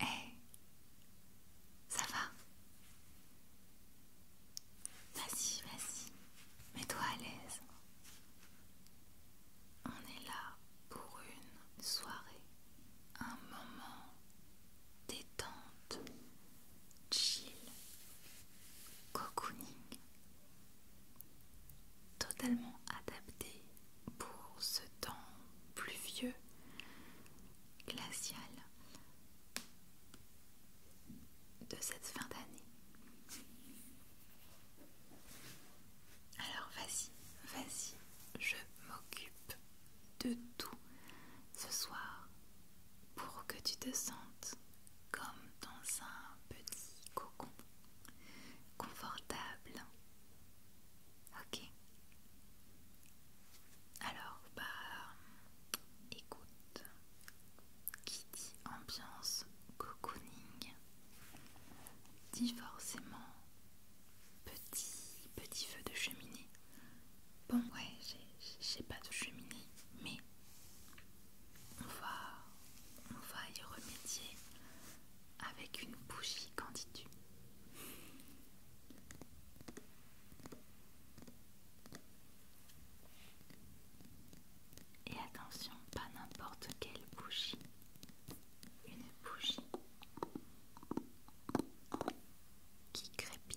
Hé, eh, ça va Vas-y, vas-y, mets-toi à l'aise. On est là pour une soirée, un moment détente, chill, cocooning, totalement adapté pour ce temps pluvieux, glacial de cette fin d'année. Alors vas-y, vas-y, je m'occupe de tout ce soir pour que tu te sentes comme dans un petit cocon confortable Ok. Alors, bah, écoute, qui dit ambiance cocooning dit forcément petit, petit feu de cheminée. Bon, ouais, j'ai pas de cheminée, mais on va, on va y remédier avec une bougie, qu'en dis-tu Et attention, pas n'importe quelle bougie, une bougie qui crépite.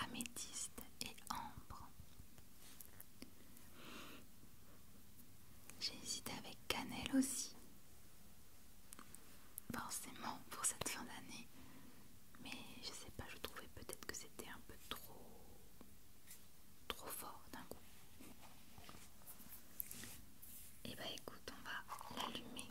améthyste et ambre j'ai hésité avec cannelle aussi. Forcément pour cette fin d'année. Mais je sais pas, je trouvais peut-être que c'était un peu trop trop fort d'un coup. Et eh bah ben, écoute, on va l'allumer.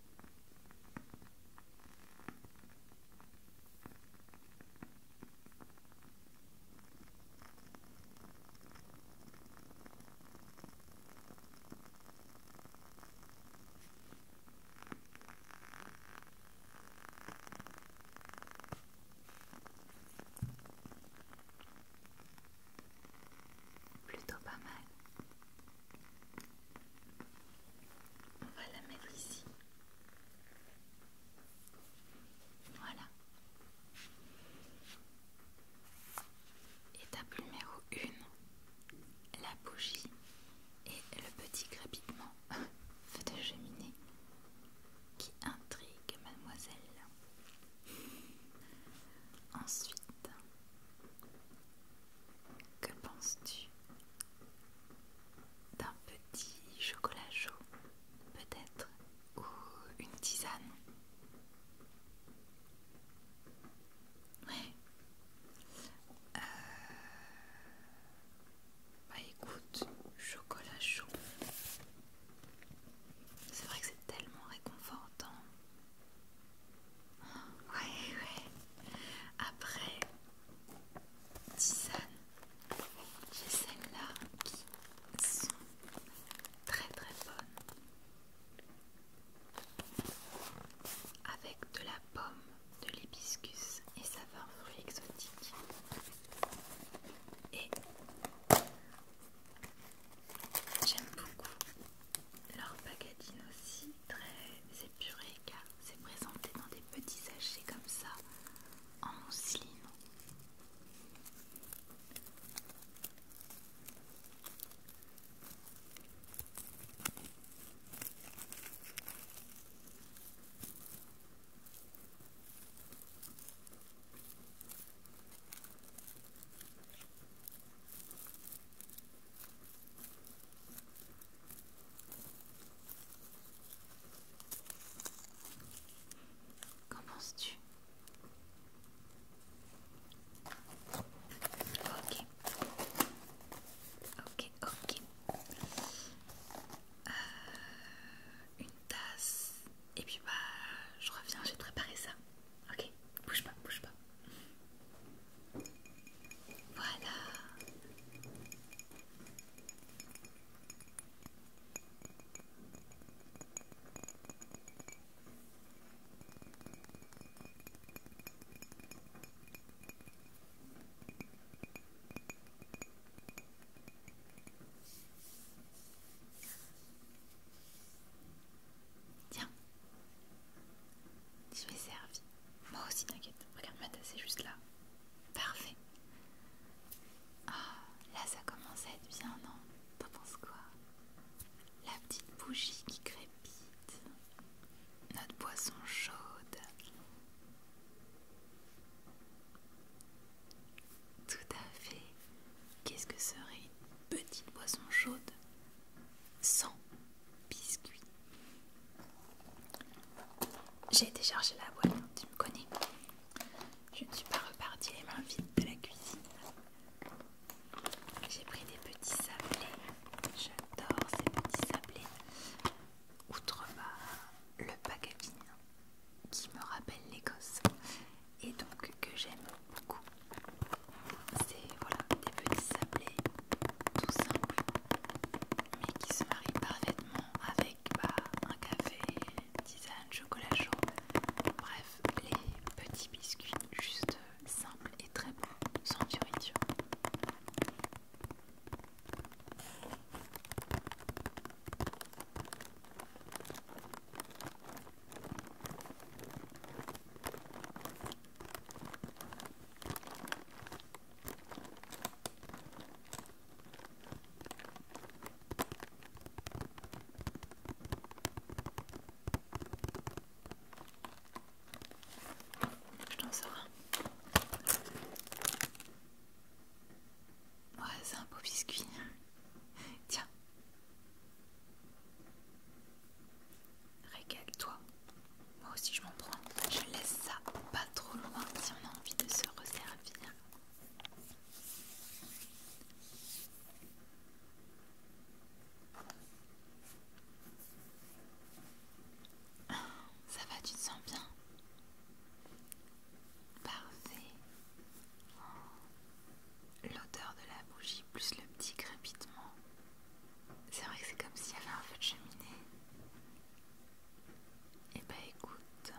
Plutôt pas mal. On va la mettre ici. Voilà. Étape numéro 1. La bougie et le petit crépitement de cheminée qui intrigue mademoiselle. Ensuite, que penses-tu d'un petit chocolat chaud, peut-être, ou une tisane Ouais. Euh, bah écoute, chocolat chaud. C'est vrai que c'est tellement réconfortant. Ouais, ouais. Après, tisane, j'ai celles-là qui sont très très bonnes. Avec de la pomme, de l'hibiscus et un fruit exotique Et j'aime beaucoup leur packaging aussi très épurée car c'est présenté dans des petits sachets comme ça en cylindre. Qu'en penses-tu Ok. Ok, ok. Euh, une tasse. Et puis bah, je reviens, j'ai préparé ça. Ok, bouge pas, bouge pas. Voilà. Tiens, tu m'es servi. Moi aussi, t'inquiète. Regarde ma tasse, juste là. Parfait. Ah, là, ça commence à être bien, non T'en penses quoi La petite bougie qui crépite. Notre boisson chaude. Tout à fait. Qu'est-ce que serait une petite boisson chaude sans biscuit. J'ai déchargé la boîte, hein, tu me connais. Je ne suis pas repartie les mains vides de la cuisine. J'ai pris des petits sablés. J'adore ces petits sablés. Outre le packaging qui me rappelle l'Écosse et donc que j'aime beaucoup. C'est voilà, des petits sablés tout simples, mais qui se marient parfaitement avec bah, un café, tisane, chocolat chaud, bref, les petits biscuits juste simples et très bons, sans fioriture. Je t'en sors un. Ouais, c'est un beau biscuit. Tiens. Régale-toi. Moi aussi je m'en prends. Je laisse ça pas trop loin si on a envie de se resservir. Ça va, tu te sens bien Parfait. Oh. L'odeur de la bougie plus le petit crépitement c'est vrai que c'est comme s'il y avait un feu de cheminée. Et eh bah ben, écoute,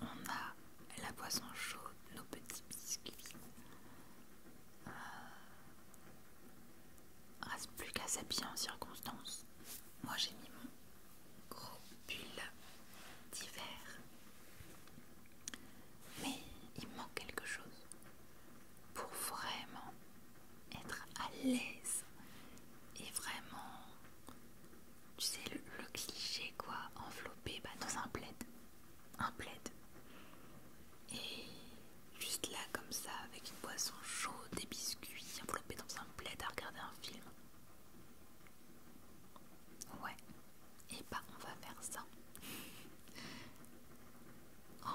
on a la boisson chaude, nos petits biscuits. Euh, reste plus qu'à s'habiller en circonstance. Moi j'ai mis mon gros pull d'hiver. Mais il manque quelque chose pour vraiment être à l'aise et vraiment, tu sais, le, cliché quoi, enveloppé bah, dans un plaid. Un plaid. Et juste là comme ça, avec une boisson chaude, des biscuits, enveloppé dans un plaid à regarder un film. Ouais, et bah on va faire ça. Oh,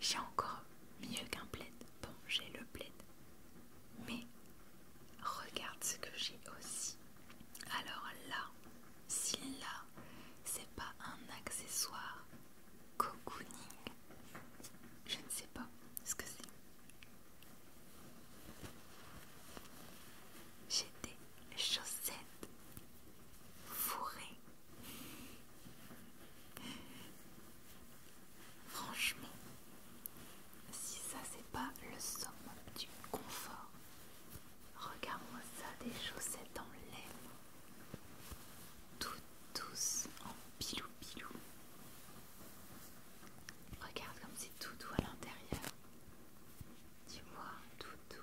j'ai encore mieux qu'un plaid. Bon, j'ai le plaid. Mais regarde ce que j'ai aussi. Alors là, si là, c'est pas un accessoire cocooning, je ne sais pas ce que c'est. J'ai des chaussettes fourrées Franchement, si ça c'est pas le somme du confort, regarde-moi ça, des chaussettes en lèvres, toutes douces en pilou pilou. Regarde comme c'est tout doux à l'intérieur. Tu vois, tout doux.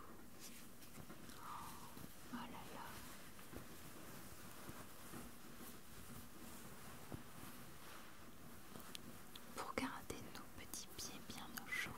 Pour garder nos petits pieds bien au chaud.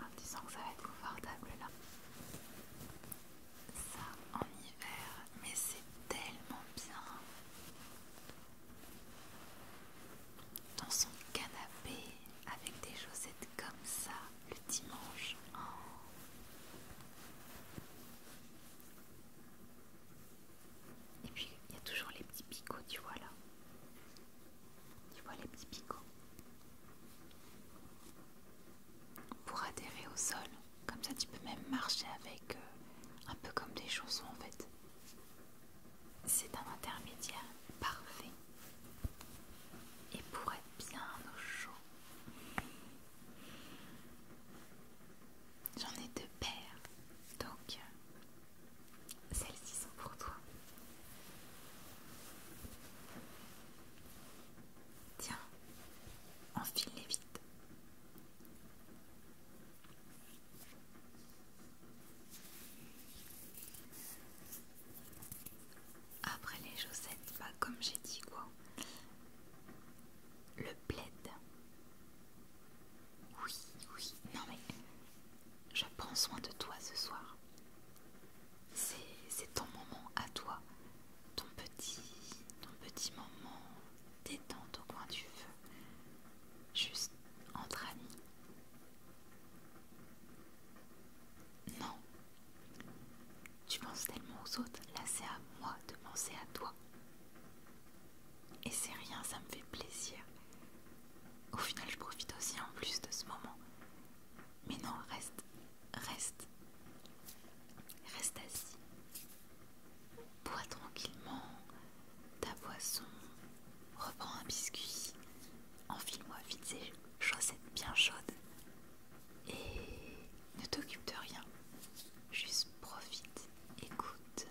En disant que ça va être confortable là. Ça en hiver, mais c'est tellement bien. Dans son canapé avec des chaussettes comme ça le dimanche. Oh. Et puis il y a toujours les petits picots, tu vois là. Tu vois les petits picots. Pour adhérer au sol, comme ça tu peux même marcher avec euh, un peu comme des chaussons en fait. C'est un intermédiaire parfait. Et pour être bien au chaud, j'en ai deux paires. Donc, euh, celles-ci sont pour toi. Tiens, enfile-les vite. Après les chaussettes, bah comme j'ai dit quoi. Le plaid. Oui, oui, non mais je prends soin de toi ce soir. C'est ton moment à toi, ton petit, ton petit moment détente au coin du feu juste entre amis. Non. Tu penses tellement aux autres, là c'est à moi de penser à toi. Et c'est rien, ça me fait plaisir. Au final, je profite aussi en plus de ce moment. Mais non, reste, reste, reste assis. Bois tranquillement ta boisson, reprends un biscuit, enfile-moi vite ces chaussettes bien chaudes et ne t'occupe de rien. Juste profite, écoute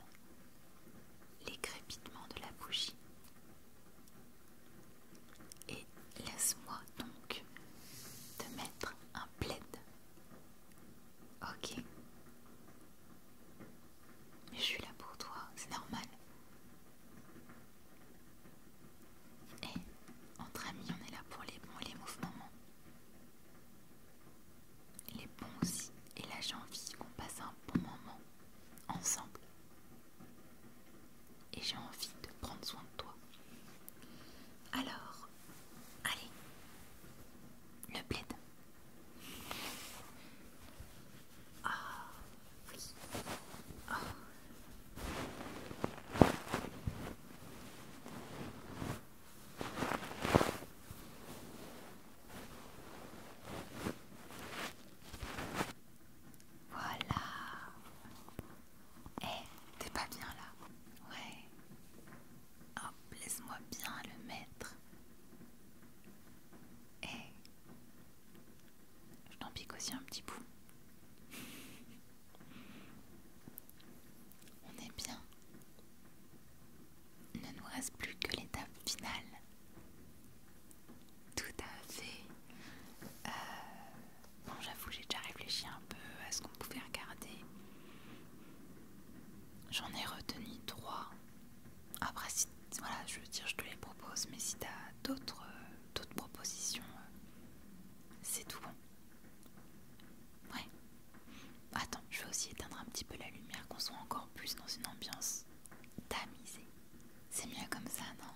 les crépitements de la bougie. Et laisse-moi donc te mettre un plaid. Ok. Mais je suis là pour toi, c'est normal. Et eh, entre amis, on est là pour les bons et les mauvais moments. Les bons aussi. Et là, j'ai envie qu'on passe un bon moment ensemble. Et j'ai envie de prendre soin de toi. Alors, allez, le plaid. Voilà. Eh, t'es pas bien là. Ouais. Hop, laisse-moi bien le mettre. Et je t'en pique aussi un petit bout. On est bien. ne nous reste plus que l'étape finale. Tout à fait. Euh, bon, j'avoue, j'ai déjà réfléchi un peu à ce qu'on pouvait regarder. J'en ai retenu trois. Après, voilà, je veux dire, je te les propose, mais si t'as d'autres euh, propositions, euh, c'est tout bon. Ouais. Attends, je vais aussi éteindre un petit peu la lumière, qu'on soit encore plus dans une ambiance tamisée. C'est mieux comme ça, non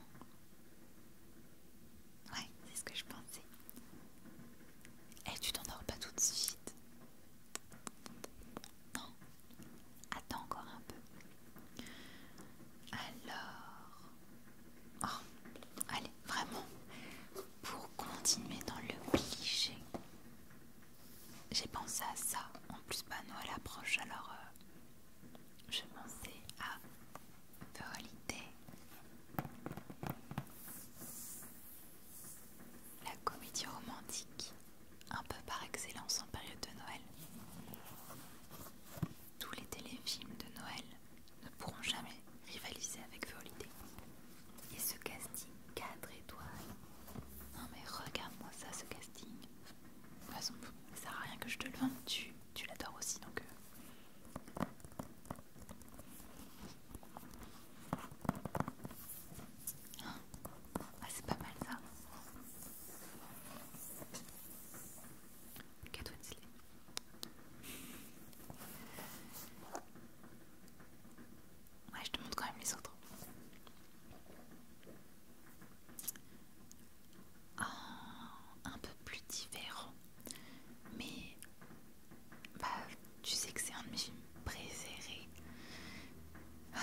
Ouais, c'est ce que je pensais. Eh, tu t'endors pas tout de suite. Non, attends encore un peu. Alors, oh, allez, vraiment, pour continuer dans le cliché, j'ai pensé à ça. En plus, bah, Noël approche, alors euh, je pensais à The la comédie romantique, un peu par excellence en période de Noël. Tous les téléfilms de Noël ne pourront jamais rivaliser avec The Et ce casting cadre étoiles. Non mais regarde-moi ça, ce casting. De toute façon, ça sert à rien que je te le vende, tu, tu l'adores aussi donc. Euh. Ah, c'est pas mal ça. Qu'est-ce que veux dire Ouais, je te montre quand même les autres. Ah, un peu plus différent, mais bah, tu sais que c'est un de mes films préférés. Ah,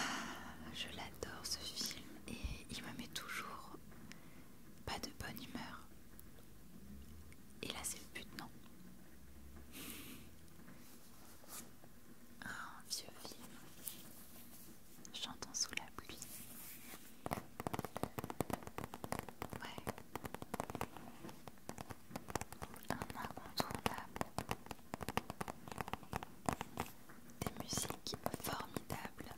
je l'adore ce film et il me met toujours pas de bonne humeur. Et là c'est le but, non Un vieux film. Chantant sous la pluie. Ouais. Un incontournable. Des musiques formidables.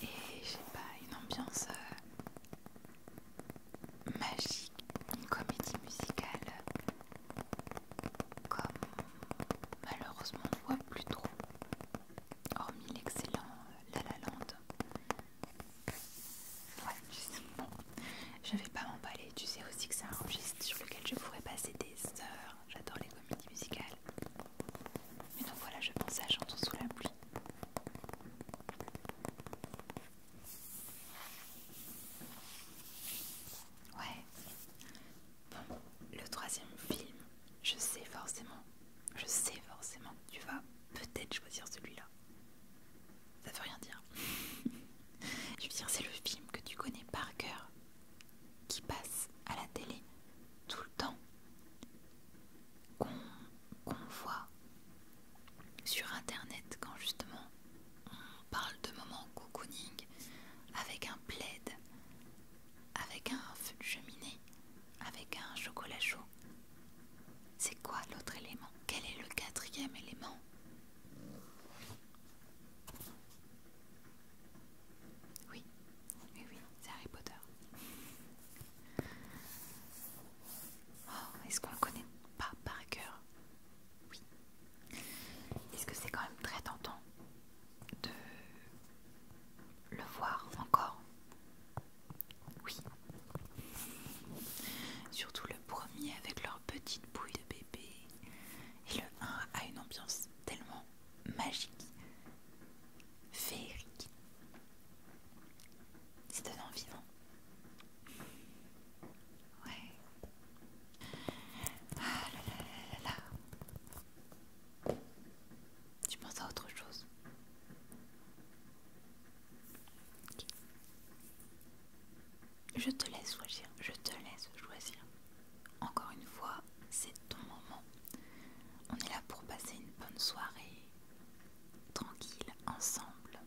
Et j'ai pas, une ambiance euh, magique, une comédie musicale comme malheureusement on ne voit plus trop, hormis l'excellent La La Land Ouais, sais, je vais pas m'emballer. Tu sais aussi que c'est un registre sur lequel je pourrais passer des heures. J'adore les comédies musicales. Mais donc voilà, je pense à Chantons sous la pluie. Ouais. Bon, le troisième film, je sais forcément, je sais forcément, tu vas peut-être choisir celui-là ça veut rien dire. Je veux dire, c'est le film que tu connais par cœur qui passe à la télé tout le temps, qu'on voit sur internet quand justement on parle de moments cocooning avec un plaid, avec un feu de cheminée, avec un chocolat chaud, c'est quoi l'autre élément Quel est le quatrième élément Oui, oui, oui, c'est Harry Potter. Oh, est-ce qu'on le connaît pas par cœur Oui. Est-ce que c'est quand même très tentant de le voir encore oui. Surtout le premier avec leur petite bouille de bébé. Et le 1 a une ambiance tellement magique, féerique. C'est un envie, Ouais. Ah là là là là là. Tu penses à autre chose je te laisse choisir, je te laisse choisir. Encore une fois, c'est ton moment. On est là pour passer une bonne soirée, tranquille, ensemble.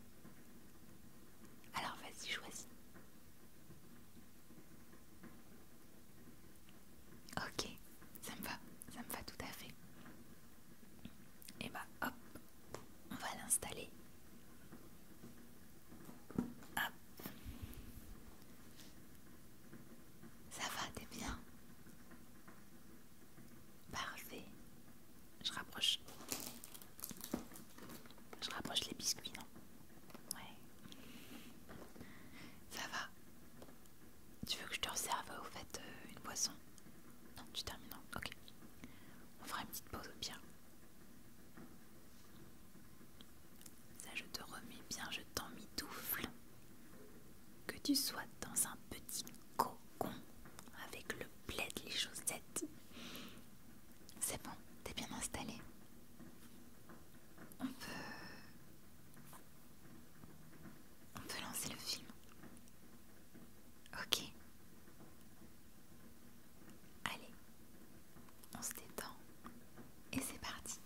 Alors vas-y, choisis. Ok, ça me va, ça me va tout à fait. Et bah hop, on va l'installer. Hop. Ça va, t'es bien Parfait. Je rapproche. Je rapproche les biscuits, non Ouais. Ça va. Tu veux que je te reserve au fait euh, une boisson non, tu termines. Hein. ok. On fera une petite pause au pire. Ça, je te remets bien, je t'en mitoufle. Que tu sois dans un petit cocon avec le plaid, les chaussettes. C'est bon, t'es bien installé. On peut. On peut lancer le film. Ok. Allez, on se détend et c'est parti.